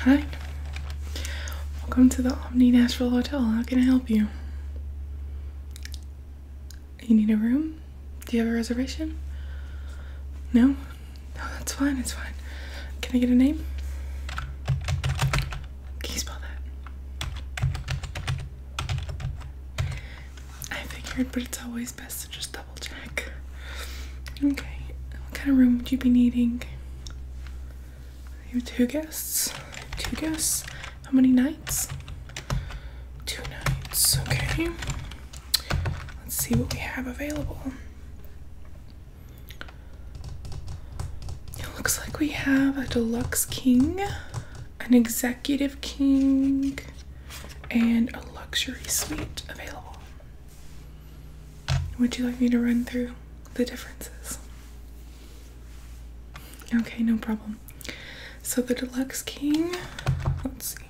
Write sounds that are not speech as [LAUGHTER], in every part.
Hi, welcome to the Omni Nashville Hotel. How can I help you? You need a room? Do you have a reservation? No? oh, that's fine, it's fine. Can I get a name? Can you spell that? I figured, but it's always best to just double check. Okay, what kind of room would you be needing? You two guests. Two guests. How many nights? Two nights. Okay. Let's see what we have available. It looks like we have a deluxe king, an executive king, and a luxury suite available. Would you like me to run through the differences? Okay, no problem. So the Deluxe King, let's see,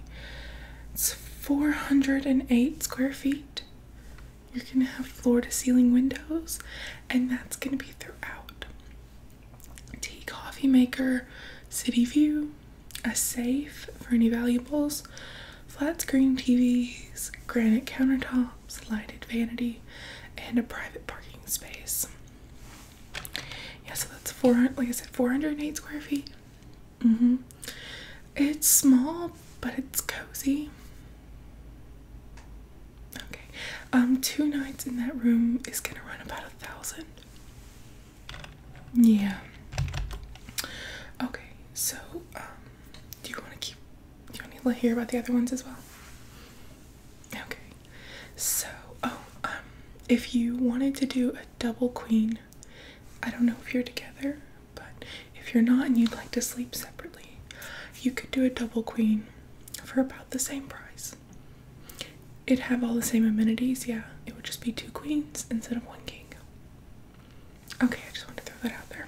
it's 408 square feet. You're gonna have floor to ceiling windows, and that's gonna be throughout. Tea coffee maker, city view, a safe for any valuables, flat screen TVs, granite countertops, lighted vanity, and a private parking space. Yeah, so that's four hundred. Like I said, four hundred eight square feet. Mm hmm. It's small, but it's cozy. Okay. Um, two nights in that room is gonna run about a thousand. Yeah. Okay. So um, do you want to keep? Do you want to hear about the other ones as well? Okay. So, oh, um, if you wanted to do a double queen, I don't know if you're together, but if you're not and you'd like to sleep separately, you could do a double queen for about the same price. It'd have all the same amenities, yeah. It would just be two queens instead of one king. Okay, I just wanted to throw that out there.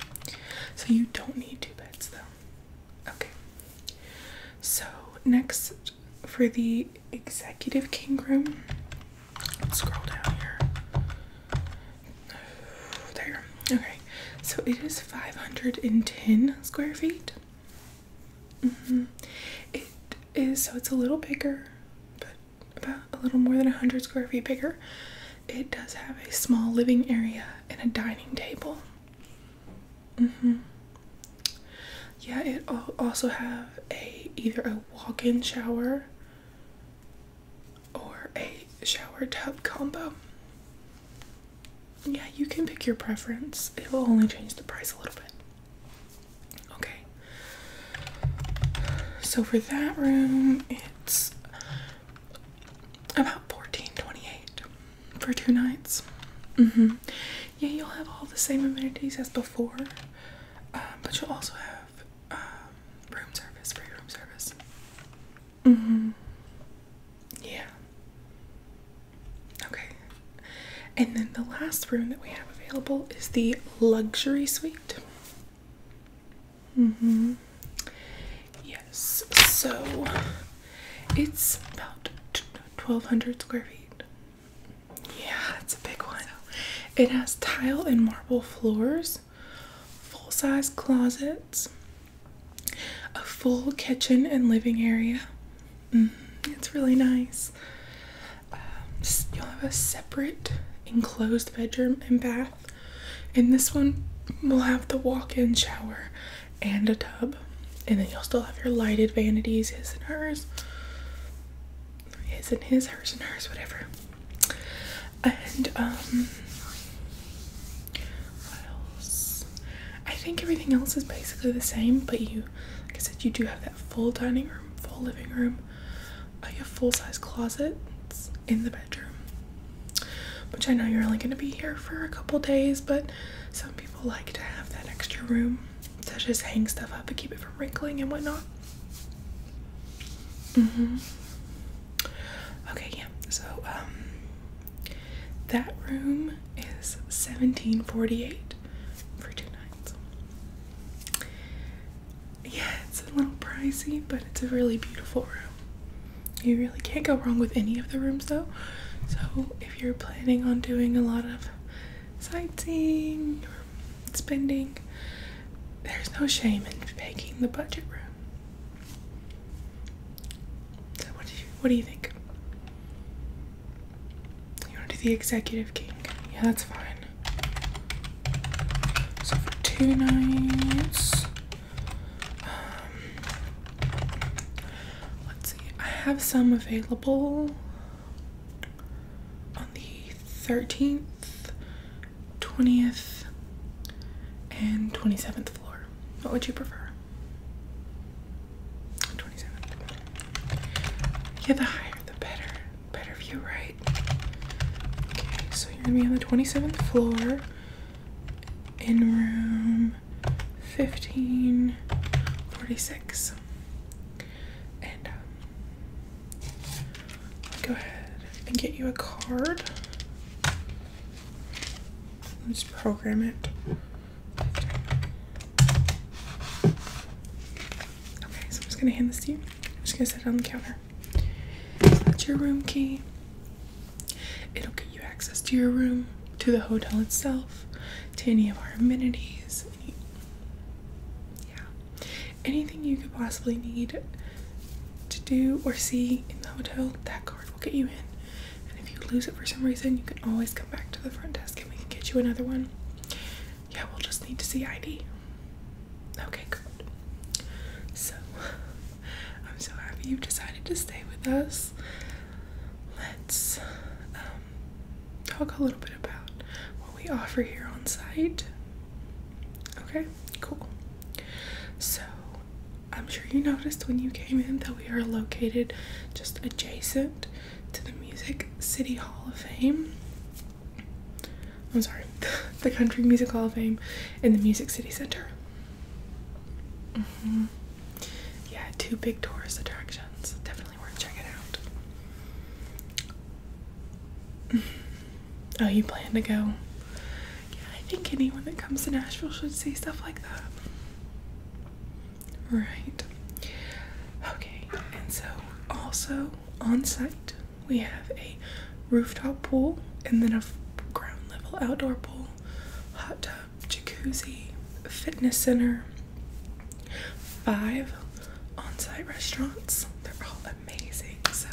So you don't need two beds though. Okay. So next for the executive king room, scroll down here. [SIGHS] There. Okay. So it is 510 square feet. -hmm. It is so it's a little bigger, about a little more than 100 square feet bigger. It does have a small living area and a dining table. Mm-hmm. Yeah, it also have a either a walk-in shower or a shower tub combo. Yeah, you can pick your preference. It will only change the price a little bit. Okay, so for that room, it's about fourteen twenty-eight for two nights. Mm-hmm. Yeah, you'll have all the same amenities as before, um, but you'll also have um, room service free room service. Mm-hmm. Yeah. Okay. And then the last room that we have available is the luxury suite. Mm-hmm. Yes, so it's about 1200 square feet. Yeah, it's a big one. it has tile and marble floors, full size closets, a full kitchen and living area. Mm-hmm, it's really nice. Um, you'll have a separate enclosed bedroom and bath, and this one will have the walk-in shower and a tub, and then you'll still have your lighted vanities, his and hers, his and his, hers and hers, whatever. And um, what else? I think everything else is basically the same, but you, like I said, you do have that full dining room, full living room, I have full-size closets in the bedroom. Which I know you're only gonna be here for a couple days, but some people like to have that extra room to just hang stuff up and keep it from wrinkling and whatnot. Mm-hmm. Okay, yeah. So um, that room is 1748 for two nights yeah, it's a little pricey, but it's a really beautiful room. You really can't go wrong with any of the rooms though. So if you're planning on doing a lot of sightseeing or spending, there's no shame in picking the budget room. So what do you what do you think? You wanna do the executive king? Yeah, that's fine. So for two nights. Um, let's see. I have some available on the 13th, 20th, and 27th floor. What would you prefer? 27th. Yeah, the higher the better. Better view right. Okay, so you're gonna be on the 27th floor in room 1546. And um, go ahead and get you a card. Let's program it. Okay, so I'm just gonna hand this to you. I'm just gonna set it on the counter. So that's your room key. It'll get you access to your room, to the hotel itself, to any of our amenities. yeah, anything you could possibly need to do or see in the hotel, that card will get you in. And if you lose it for some reason, you can always come back to the front desk and we can get you another one. Yeah, we'll just need to see ID. Okay, good. So, [LAUGHS] I'm so happy you've decided to stay with us. Let's um, talk a little bit about what we offer here on site. Okay, cool. So, I'm sure you noticed when you came in that we are located just adjacent to the Music City Hall of Fame. I'm sorry, [LAUGHS] the Country Music Hall of Fame and the Music City Center. Mm-hmm. Yeah, two big tourist attractions. Definitely worth checking out. Mm-hmm. Oh, you plan to go? Yeah, I think anyone that comes to Nashville should see stuff like that. Right. Okay, and so also on site, we have a rooftop pool and then a ground level outdoor pool, hot tub, jacuzzi, fitness center, five on site restaurants. They're all amazing. So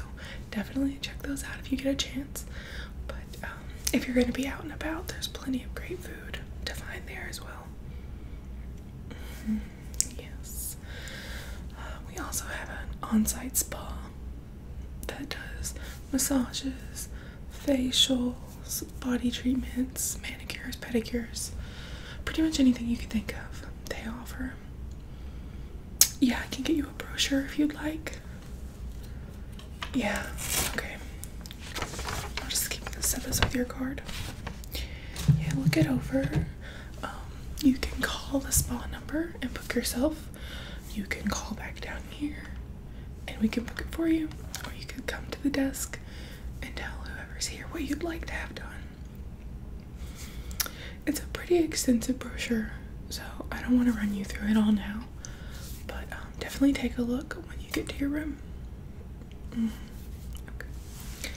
definitely check those out if you get a chance. But um, if you're going to be out and about, there's plenty of great food to find there as well. Mm-hmm. Yes. Uh, we also have an on site spa that does massages, facials, body treatments, manicures, pedicures, pretty much anything you can think of, they offer. Yeah, I can get you a brochure if you'd like. Yeah, okay. I'll just keep the service with your card yeah, look it over. Um, you can call the spa number and book yourself. You can call back down here and we can book it for you, or you could come to the desk and tell whoever's here what you'd like to have done. It's a pretty extensive brochure, so I don't want to run you through it all now, but um, definitely take a look when you get to your room. Mm. Okay.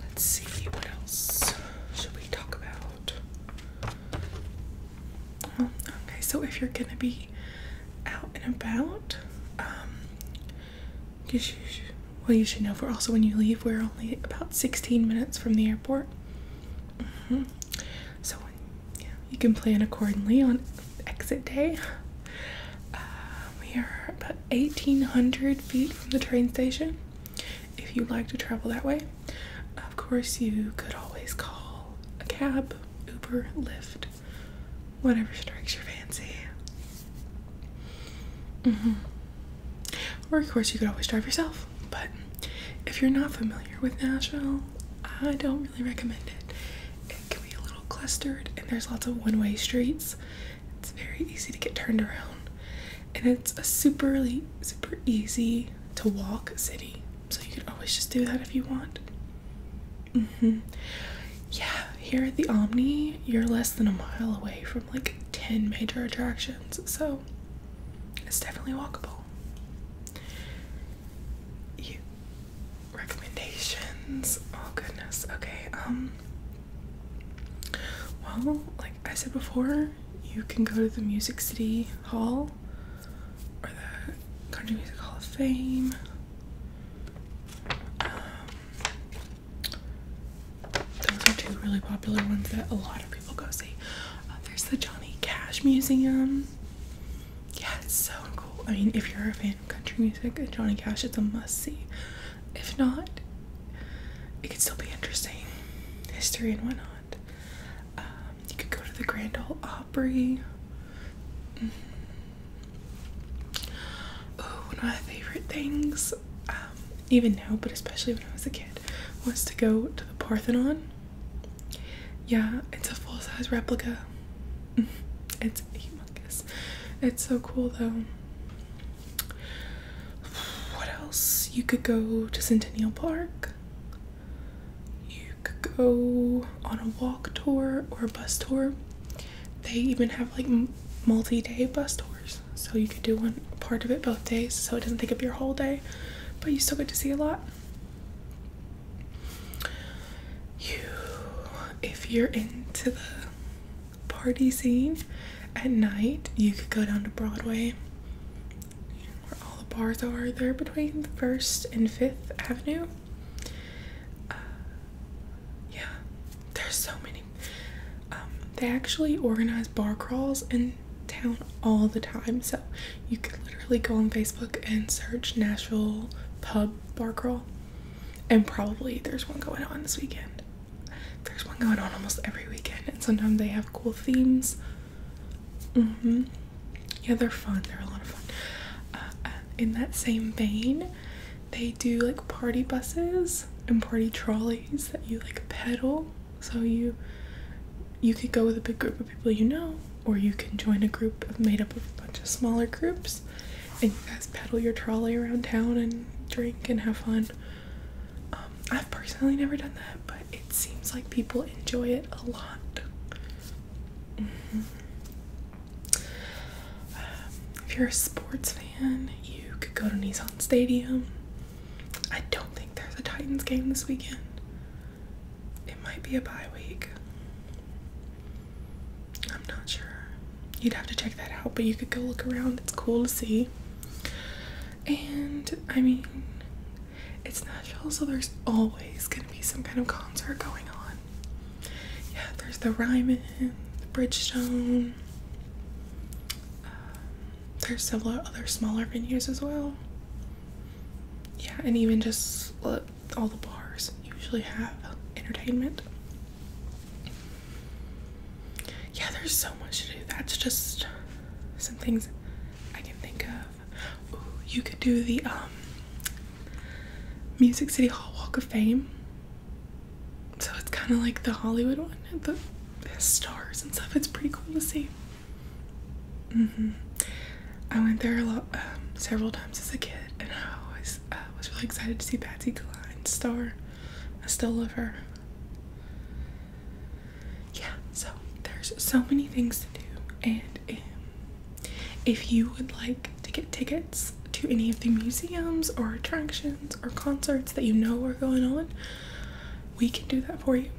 Let's see what else should we talk about. Oh, okay, so if you're gonna be out and about, um, well, you should know. For also, when you leave, we're only about 16 minutes from the airport. Mm-hmm. So, you can plan accordingly on exit day. Uh, we are about 1,800 feet from the train station. If you'd like to travel that way, of course, you could always call a cab, Uber, Lyft, whatever strikes your fancy. Mm-hmm. Or, of course, you could always drive yourself. But if you're not familiar with Nashville, I don't really recommend it. It can be a little clustered, and there's lots of one way streets. It's very easy to get turned around, and it's a super, super easy to walk city. So you can always just do that if you want. Mm-hmm. Yeah, here at the Omni, you're less than a mile away from like 10 major attractions, so it's definitely walkable. You recommendations. Oh goodness. Okay, um well, like I said before, you can go to the Music City Hall or the Country Music Hall of Fame. Um, those are two really popular ones that a lot of people go see. Uh, there's the Johnny Cash Museum. Yeah, it's so cool. I mean, if you're a fan of country music, Johnny Cash, it's a must see. If not, it could still be interesting. History and whatnot. Um, you could go to the Grand Ole Opry. Oh, one of my favorite things, um, even now, but especially when I was a kid, was to go to the Parthenon. Yeah, it's a full size replica. [LAUGHS] it's humongous. It's so cool though. What else? You could go to Centennial Park. You could go on a walk tour or a bus tour. They even have like multi-day bus tours, so you could do one part of it both days, so it doesn't take up your whole day, but you still get to see a lot. You, if you're into the party scene. At night, you could go down to Broadway, where all the bars are. There are between 1st and 5th Avenue. Uh, yeah, there's so many. Um, they actually organize bar crawls in town all the time, so you could literally go on Facebook and search Nashville pub bar crawl and probably there's one going on this weekend. There's one going on almost every weekend, and sometimes they have cool themes. Mm-hmm. Yeah, they're fun. They're a lot of fun. Uh, um, in that same vein, they do like party buses and party trolleys that you like pedal. So you you could go with a big group of people you know, or you can join a group of, made up of a bunch of smaller groups and you guys pedal your trolley around town and drink and have fun. Um, I've personally never done that, but it seems like people enjoy it a lot. Mm-hmm. if you're a sports fan, you could go to Nissan Stadium. I don't think there's a Titans game this weekend. It might be a bye week. I'm not sure. You'd have to check that out, but you could go look around. It's cool to see. And I mean, it's Nashville, so there's always going to be some kind of concert going on. Yeah, there's the Ryman, the Bridgestone. Um, there's several other smaller venues as well. Yeah, and even just uh, all the bars usually have entertainment. Yeah, there's so much to do. That's just some things I can think of. you could do the um, Music City Hall Walk of Fame. So it's kind of like the Hollywood one, the stars and stuff. It's pretty cool to see. Mm-hmm. I went there a lot, um, several times as a kid, and I always I uh, was really excited to see Patsy Cline star. I still love her. Yeah, so there's so many things to do, and um, if you would like to get tickets to any of the museums or attractions or concerts that you know are going on, we can do that for you.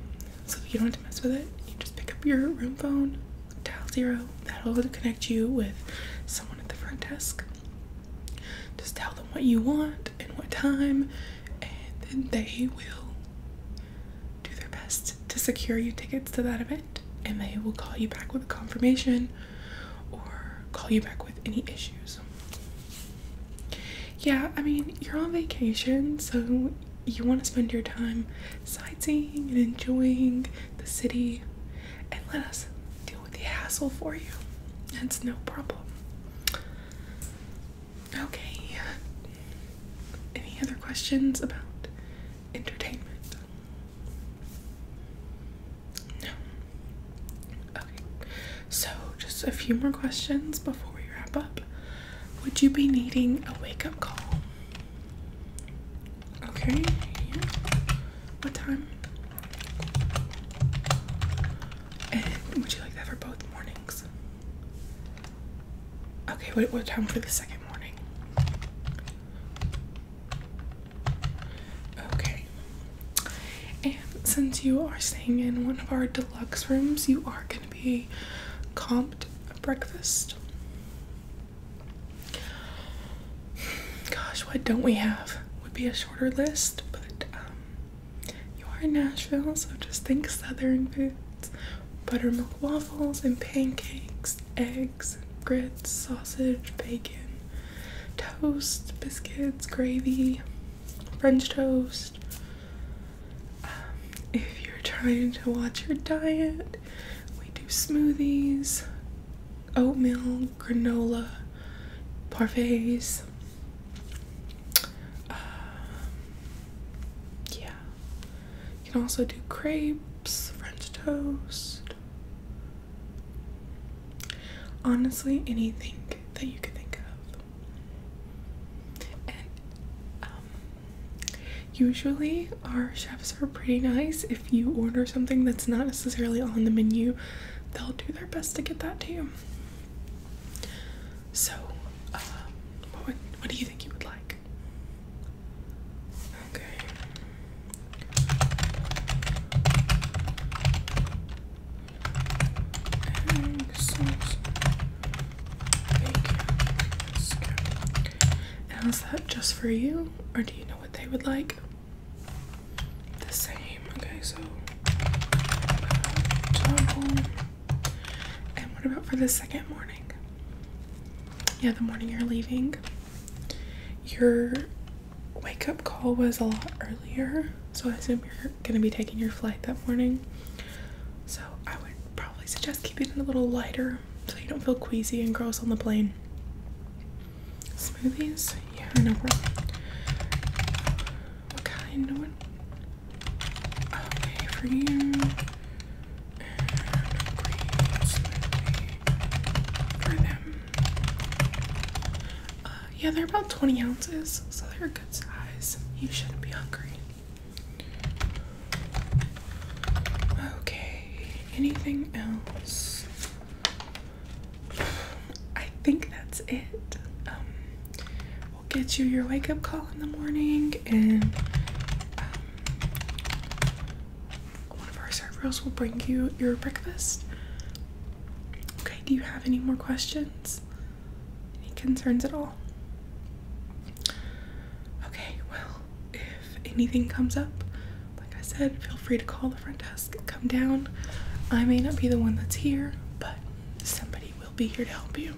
So you don't have to mess with it. You just pick up your room phone, dial zero. That'll connect you with someone at the front desk. Just tell them what you want and what time, and then they will do their best to secure you tickets to that event. And they will call you back with confirmation or call you back with any issues. Yeah, I mean, you're on vacation, so you want to spend your time sightseeing and enjoying the city and let us deal with the hassle for you. That's no problem. Okay. Any other questions about entertainment? No. Okay. So, just a few more questions before we wrap up. Would you be needing a wake up call? Okay, yeah. What time? Eh, would you like that for both mornings? Okay, what, what time for the second morning? Okay. And since you are staying in one of our deluxe rooms, you are going to be comped breakfast. Gosh, what don't we have? Would be a shorter list, but um, you are in Nashville, so just think southern foods buttermilk waffles and pancakes, eggs, grits, sausage, bacon, toast, biscuits, gravy, French toast. Um, if you're trying to watch your diet, we do smoothies, oatmeal, granola, parfaits. Um, yeah. You can also do crepes, French toast. Honestly, anything that you can think of. Um, Usually, our chefs are pretty nice. If you order something that's not necessarily on the menu, they'll do their best to get that to you. So, um, what, do you think you would like? Okay. And is that just for you, or do you know what they would like? The same. Okay, so double. Uh, and what about for the second morning? Yeah, the morning you're leaving. Your wake up call was a lot earlier, so I assume you're gonna be taking your flight that morning. So I would Probably suggest keeping it a little lighter so you don't feel queasy and gross on the plane. Smoothies? Yeah, I What kind? Okay, for you. And a for them. Uh, yeah, they're about 20 ounces, so they're a good size. You shouldn't be hungry. Okay, anything else? I think that's it. Um, we'll get you your wake up call in the morning, and um, one of our servers will bring you your breakfast. Okay, do you have any more questions? Any concerns at all? Okay, well, if if anything comes up, like I said, feel free to call the front desk, come down. I may not be the one that's here, but somebody will be here to help you.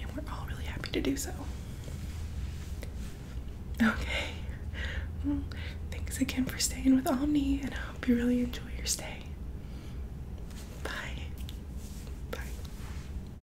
And we're all really happy to do so. Okay. thanks again for staying with Omni, and I hope you really enjoy your stay. Bye. Bye.